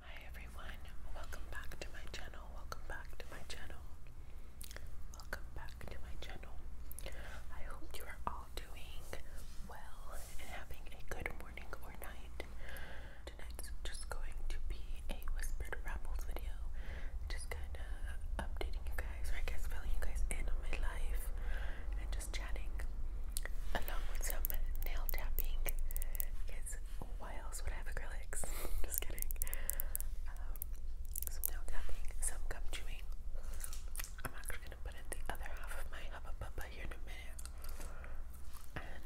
Hi everyone, welcome back to my channel, welcome back to my channel, welcome back to my channel. I hope you are all doing well and having a good morning or night. Tonight's just going to be a whispered rambles video, just kind of updating you guys, or I guess filling you guys in on my life and just chatting along with some nail tapping why else would I have acrylics? Just kidding. Um, some tapping, some gum chewing. I'm actually gonna put in the other half of my hubba bubba here in a minute. And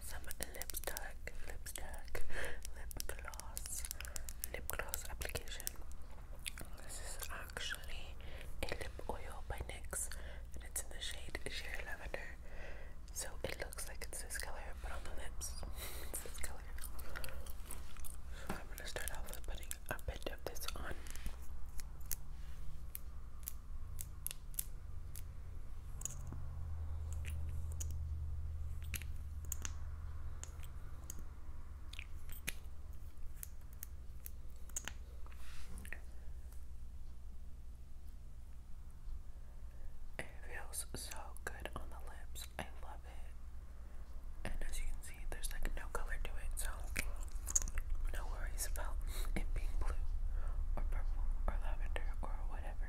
some lip tuck, lip gloss, lip gloss application. This is actually a lip oil by NYX and it's in the shade Sheer Lavender. So it looks like it's this color, but on the lips, it's this color. I'm gonna start off with putting a bit of this on. It feels so good on the lips. I love it. And as you can see, there's like no color to it, so no worries about it being blue or purple or lavender or whatever.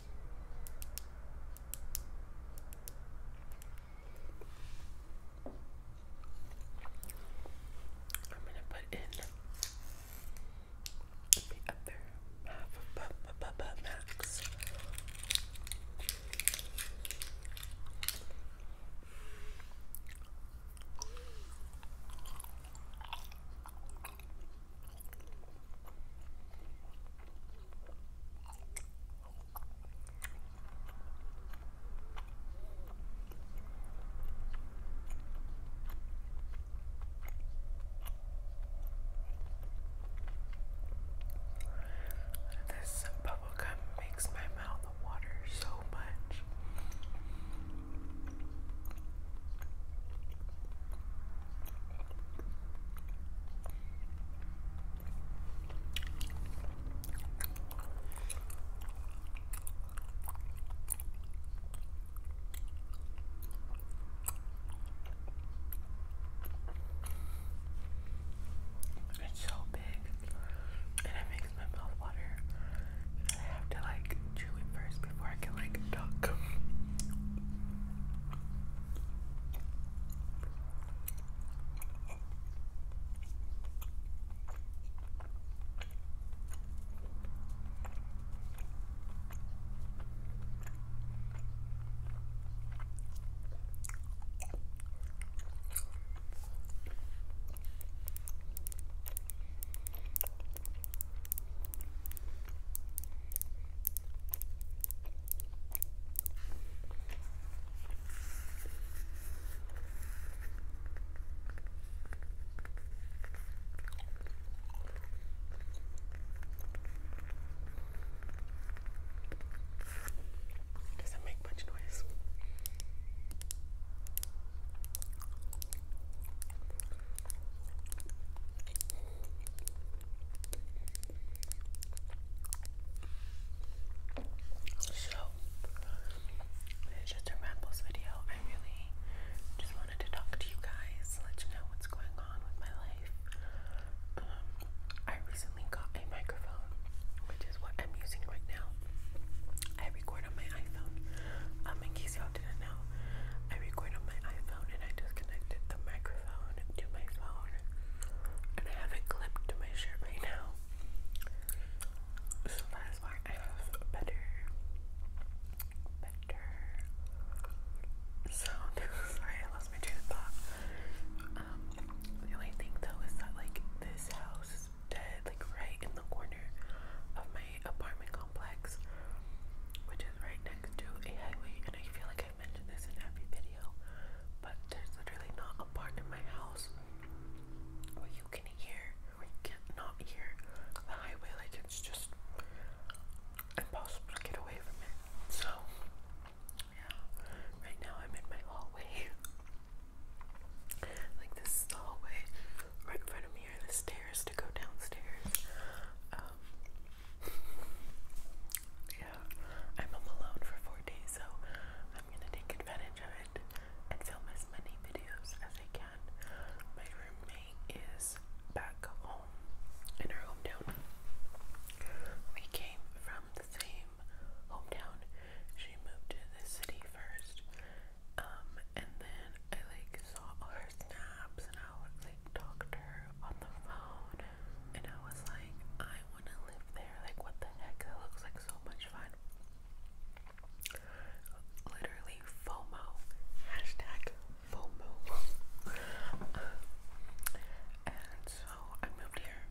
I'm gonna put in the upper half of Bubba Bubba Max. This bubblegum makes my mouth water so much. It's so big and it makes my mouth water I have to like like chew it first before I can like talk. Doesn't make much noise. So, it's just a rambles video. I really just wanted to talk to you guys, let you know what's going on with my life. Um, I recently got a microphone, which is what I'm using right now. I record on my iPhone, um, y'all didn't know, I record on my iPhone and I just the microphone to my phone. And I have it clipped to my shirt right now. So that is why I have better, better sound. Sorry, I lost my train of thought. Um, the only thing though is that like this house is dead, like right in the corner of my apartment complex, which is right next to a highway. And I feel like i mentioned this in every video, but there's literally not a part of my house where you can hear, where you can hear the highway. Like it's just impossible to get away from it. So, yeah, right now I'm in my hallway. Like this hallway right in front of me are the stairs to go downstairs. Um, yeah, I'm alone for four days, so I'm gonna take advantage of it and film as many videos as I can. My roommate is back home in her hometown. We came from the same hometown. She moved to the city first, um, and then I like saw her her snaps and I would like talk to her on the phone and I was like, I wanna live there. Like what the heck? That looks like so much fun. Literally FOMO. Hashtag FOMO. um, and so I moved here.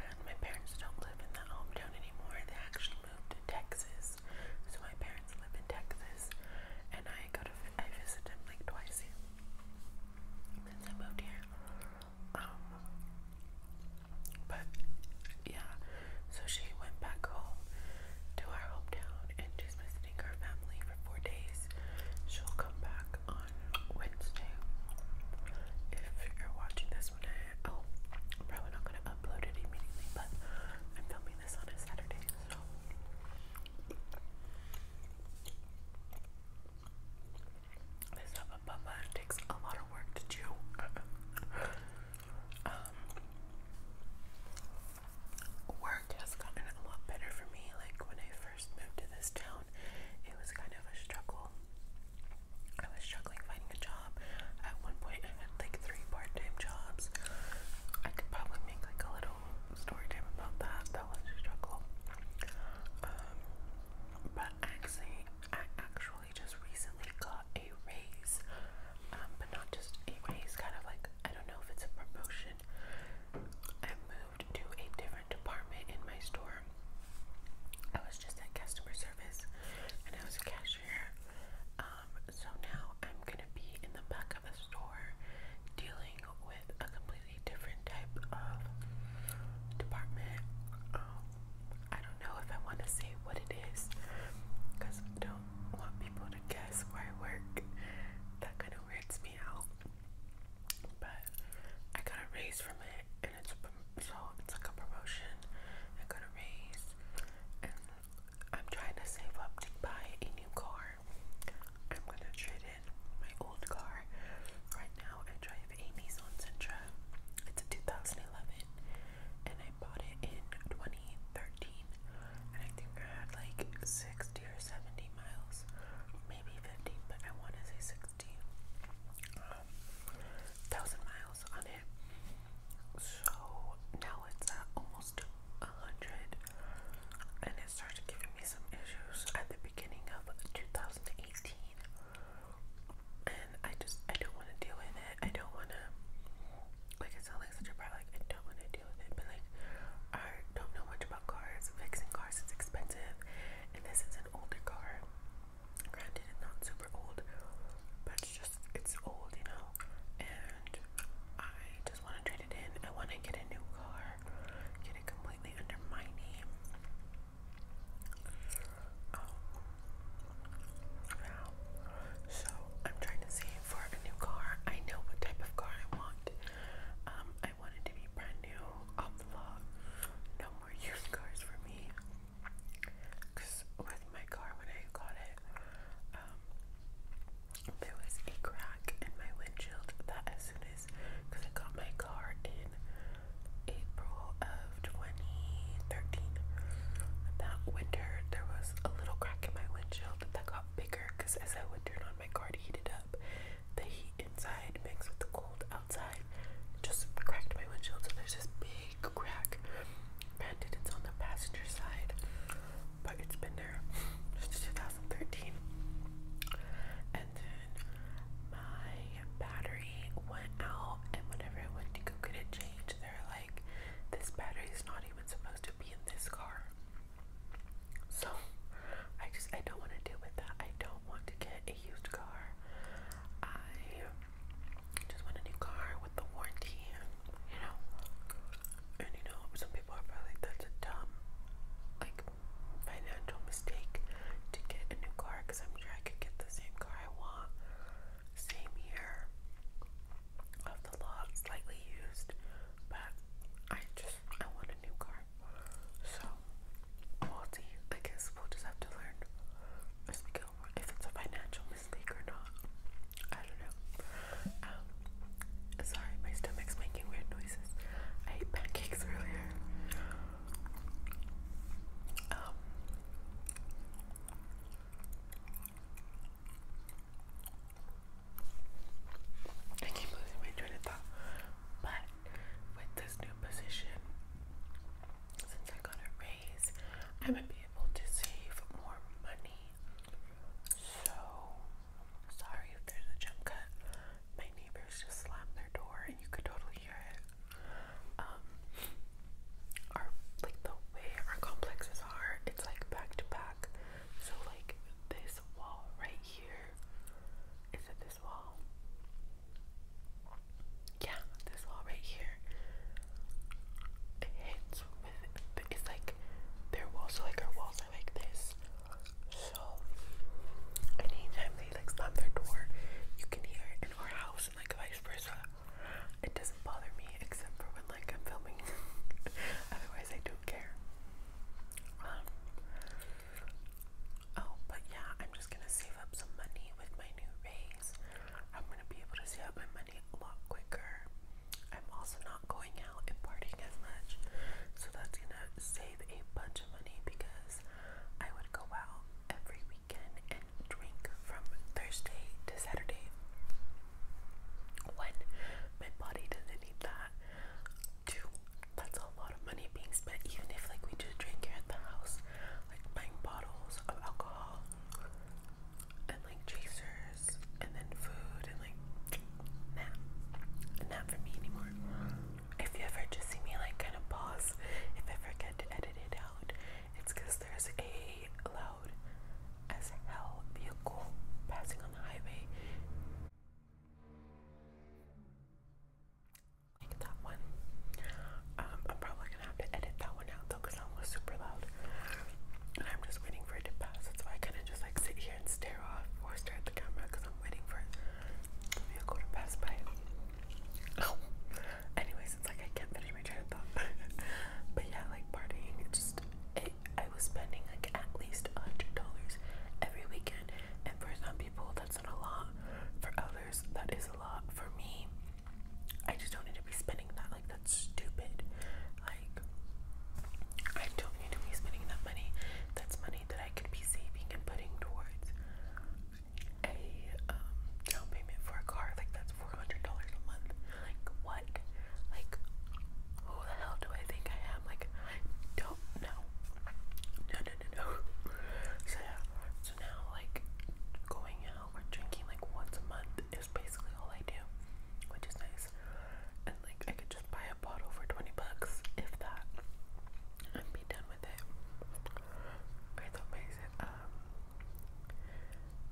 And my parents don't live in that hometown anymore. They actually moved to Texas. So my parents live in Texas, and I go to I visit them like twice since I moved here. Um, but yeah, so she went back home to our hometown, and she's visiting her family for four days. She'll come back on Wednesday. If you're watching this one, I, oh, I'm probably not gonna upload it immediately, but I'm filming this on a Saturday, so this ababa takes a lot of work to chew. Um, work has gotten a lot better for me. Like when I first moved to this town, it was kind of a struggle struggling finding a job. At one point, I had like three part-time jobs. I could probably make like a little story time about that. That was a struggle. Um, but actually, I actually just recently got a raise. Um, but not just a raise, kind of like I don't know if it's a promotion. I moved to a different department in my store. I was just at customer service and I was a cashier. Um, so now I'm gonna be in the back of the store dealing with a completely different type of department. Um, I don't know if I want to say what it is I don't want people to guess where I work. That kind of weirds me out. But I got a raise from it, and it's so it's like a promotion. I got a raise, I'm trying to save up to buy a new car. I'm gonna trade in my old car. Right now, I drive a Nissan Sentra. It's a 2011, and I bought it in 2013. And I think I had like 60 or 70 miles, maybe 50, but I want to say 60. Um, miles on it it. So now it's at almost 100 and it started giving me some issues at the beginning of 2018. And I just, I don't want to deal with it. I don't want to, like, it sounds like such a brat, like, I don't want to deal with it. But, like, I don't know much about cars. Fixing cars is expensive. And this is an older car. Granted, it's not super old, but just, it's old, you know? And I just want to trade it in. I want to get a new car, get it completely under my name. Um, now, so I'm trying to save for a new car. I know what type of car I want. Um, I want to be brand new, off the lot. No more used cars for me. Cause with my car when I got it, um, there was a crack in my windshield that as soon as, cause I got my car in April of 2013. That winter there was a little crack in my windshield that got bigger because as I would turn on my car to heat it up, the heat inside mixed with the cold outside just cracked my windshield. So there's this big crack. Granted, it's on the passenger side, but it's been there since 2013. And then my battery went out, and whenever I went to go get it changed, they're like, "This battery is not even supposed to be in this car." So I just I don't want to deal with that. I don't want to get a used car. I just want a new car with the warranty, you know. And you know, some people are probably that's a dumb, like, financial mistake to get a new car because I'm sure I could get the same car I want, same year of the lot, slightly used, but I just I want a new car. So, we'll see. I guess we'll just have to learn. Just because if it's a financial mistake or not. I don't know. Um, sorry, my stomach's making weird noises. I ate pancakes earlier. Um, I keep losing my train of thought, but with this new position, since I got a raise, i might be able to save more money. So, sorry if there's a jump cut. My neighbors just slammed their door, and you could totally hear it. Um, our like the way our complexes are, it's like back to back. So like this wall right here. Is it this wall? Yeah, this wall right here. It hits with it's like their walls so like our walls are like this. So anytime they like slam their door, you can hear in our house and like vice versa. It doesn't bother me except for when like I'm filming. Otherwise I don't care. Um, oh, but yeah, I'm just gonna save up some money with my new raise I'm gonna be able to save my money a lot quicker. I'm also not going out and partying as much, so that's gonna save a bunch of money because I would go out every weekend and drink from Thursday to Saturday when my body doesn't need that. Two, that's a lot of money being spent, even if like we just drink here at the house, like buying bottles of alcohol and like chasers and then food and like nap. Not for me anymore. If you ever just see me like kind of pause, if I forget to edit it out, it's because there's a loud as hell vehicle passing on the highway like that one. Um, I'm probably gonna have to edit that one out though that was super loud. And I'm just waiting for it to pass. That's why I kind of just like sit here and stare off or stare at the camera I'm waiting for the vehicle to pass by. Oh. Anyways, it's like I can't my thought. but yeah, like partying, just it, I was spending like at least a hundred dollars every weekend, and for some people that's not a lot. For others, that is a lot. For me, I just don't need to be spending that. Like, that's stupid. Like, I don't need to be spending that money. That's money that I could be saving and putting towards a um, down payment for a car. Like, that's $400 a month. Like, what? Like, who the hell do I think I am? Like, I don't know. No, no, no, no. So, yeah, so now, like, going out or drinking like once a month is basically all I do, which is nice. And like, I could just buy a bottle for 20 bucks, if that, and be done with it. I thought um,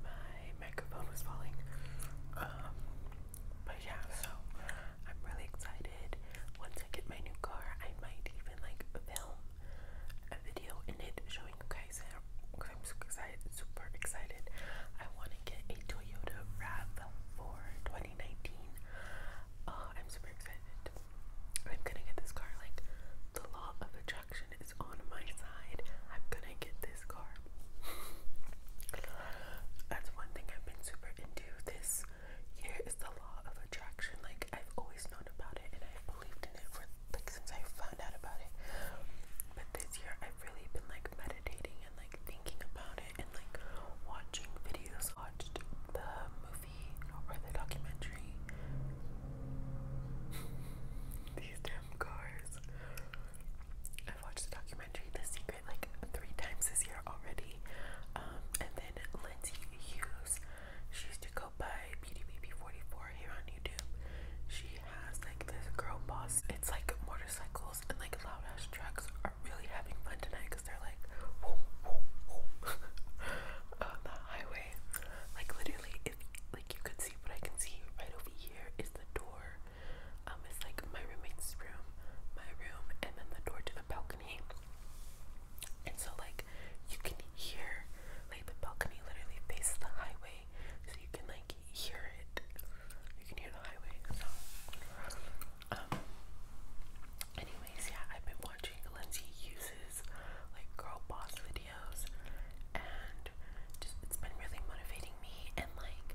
my microphone was falling. Um, but yeah, so I'm really excited. Once I get my new car, I might even like film a video in it showing you guys I'm so excited, super excited. I want to get a Toyota RAV4 2019. Uh, I'm super excited. I'm gonna get this car. Like the law of attraction is on my side. I'm gonna get this car. That's one thing I've been super into this year is the law of attraction. Like I've always always about it and I've believed in it for like since I found out about it. But this year I've really been like meditating and like thinking about it and like watching videos. Watched the movie or the documentary. These damn cars. I've watched the documentary The Secret like three times this year already. Um, and then Lindsay Hughes, she used to by BDBB44 here on YouTube. She has like this girl boss. It's like motorcycles and like loud ass trucks are really having fun tonight because they're like on the highway. Like literally, if like you could see what I can see right over here is the door. Um, it's like my roommate's room, my room, and then the door to the balcony. And so, like, you can hear, like, the balcony literally faces the highway, so you can, like, hear it. You can hear the highway. So, um, anyways, yeah, I've been watching Lindsay uses, like, girl boss videos, and just it's been really motivating me. And, like,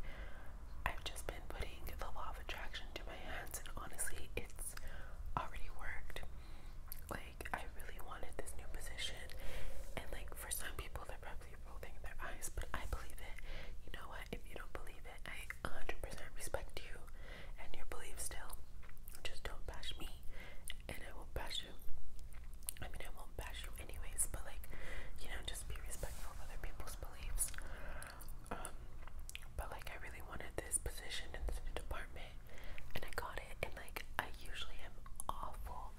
I've just been putting the law of attraction to my hands, and honestly, it's already worked. Like, like I really wanted this new position and like for some people they're probably rolling their eyes but I believe it. You know what? If you don't believe it, I 100% respect you and your beliefs still. Just don't bash me and I won't bash you. I mean I won't bash you anyways, but like you know just be respectful of other people's beliefs. Um, but like I really wanted this position in this new department and I got it and like I usually am awful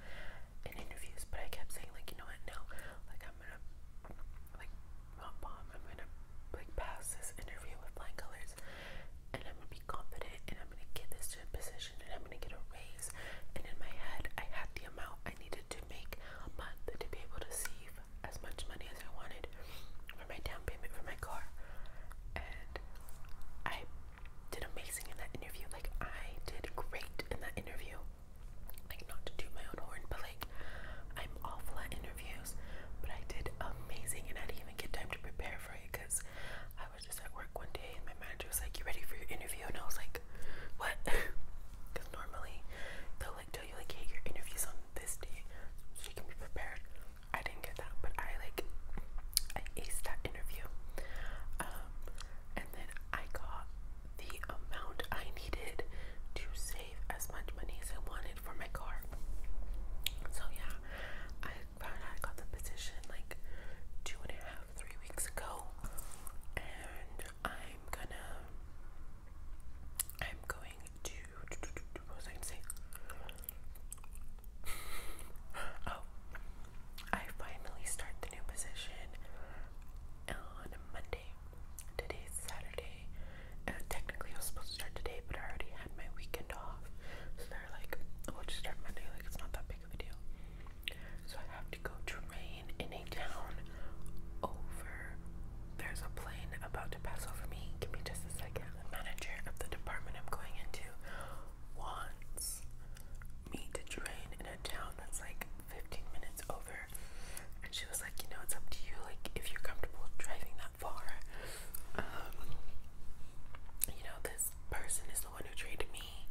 in interviews but I kept saying like you know what no like I'm gonna like not bomb I'm gonna like pass this interview with flying colors and I'm gonna be confident and I'm gonna get this to a position and I'm gonna get a raise and in my head I had the amount I needed to make a month to be able to save as much money as I wanted for my down payment for my car. And I did amazing in that interview. Like I did great in that interview. Like not to toot my own horn, but like I'm awful at interviews. But I did amazing and I didn't even get time to prepare for it because I was just at work one day and my manager was like, You ready for your interview? And I was like, What? Because normally they'll like tell you like hey your interview's on this day so you can be prepared. I didn't get that, but I like I aced that interview. Um, and then I got the amount I needed to save as much money as I wanted for my car. So yeah, I found I got the position like two and a half, three weeks ago, and I'm gonna. I'm going to. What was I gonna say? oh, I finally start the new position on Monday. Today's Saturday. Uh, technically, I was supposed to start today, but I already had my weekend off. So they're like, we'll just start Monday. Like, it's not that big of a deal. So I have to go train in a town over. There's a plane about to pass over me. Give me just a second the manager of the department I'm going into wants me to train in a town that's like 15 minutes over. And she was like, you know, it's up to you, like, if you're comfortable driving that far. Um, you know, this person is the one who trained me,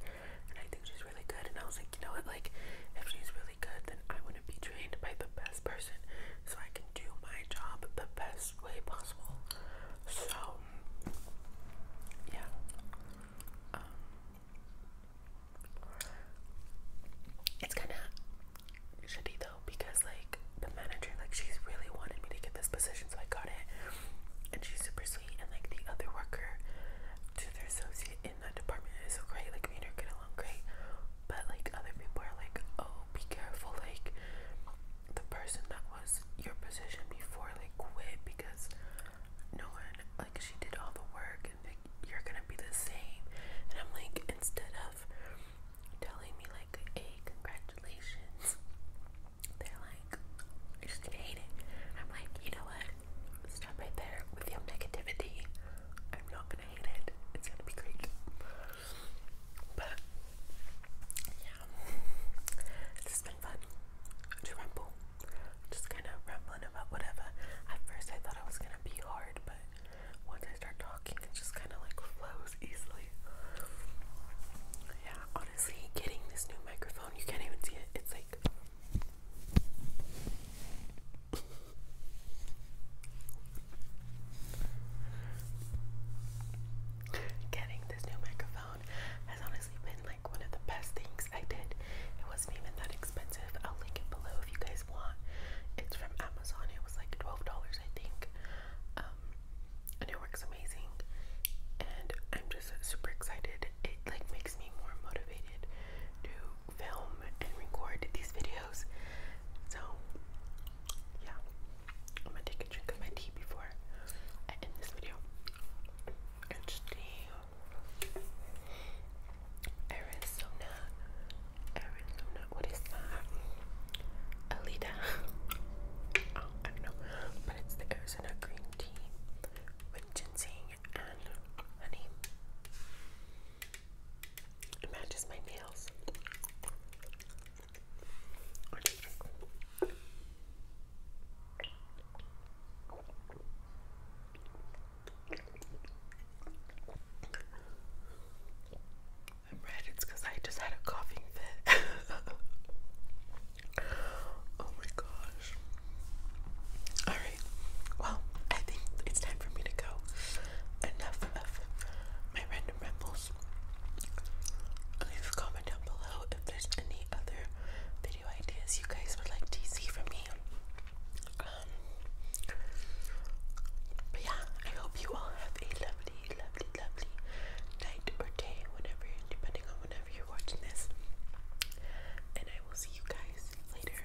and I think she's really good. And I was like, you know what, like, if she's really good, then I want to be trained by the best person so I can do my job the best best way possible. So, yeah. Um, it's kind of shitty though because like the manager, like she's really wanted me to get this position, so I got it, and she's super sweet. And like the other worker to their associate in that department is great. Like me and get along great, but like other people are like, oh, be careful, like the person that was your position before like quit because no one like she did all the work and like you're gonna be the same. And I'm like, instead of telling me like, hey, congratulations, they're like, I just hate it. I'm like, you know what? Stop right there with your negativity. I'm not gonna hate it. It's gonna be great. But yeah, this has been fun Just kind of rambling about whatever. At first, I thought I was gonna be hard, but once I start talking, it just kind of like flows easily. Yeah, honestly, getting this new microphone, you can't even see it. It's like. Getting this new microphone has honestly been like one of the best things I did. It wasn't even that expensive. I'll link it below if you guys want. It's from Amazon. It was like $12, I think. Um, and it works amazing. And I'm just super excited. It like makes me more motivated to film and record these videos. So yeah, I'm gonna take a drink of my tea before I end this video. It's tea. Arizona, Arizona, what is that? Alida. Oh, I know, but it's the Arizona green tea with ginseng and honey. It matches my nails. I am red, it's because I just had a coughing fit. oh my gosh. Alright, well, I think it's time for me to go enough of my random rambles. Leave a comment down below if there's any other video ideas you guys would like to see from me. Um, but yeah, I hope you all have a lovely, lovely, lovely night or day, whenever, depending on whenever you're watching this. And I will see you guys later.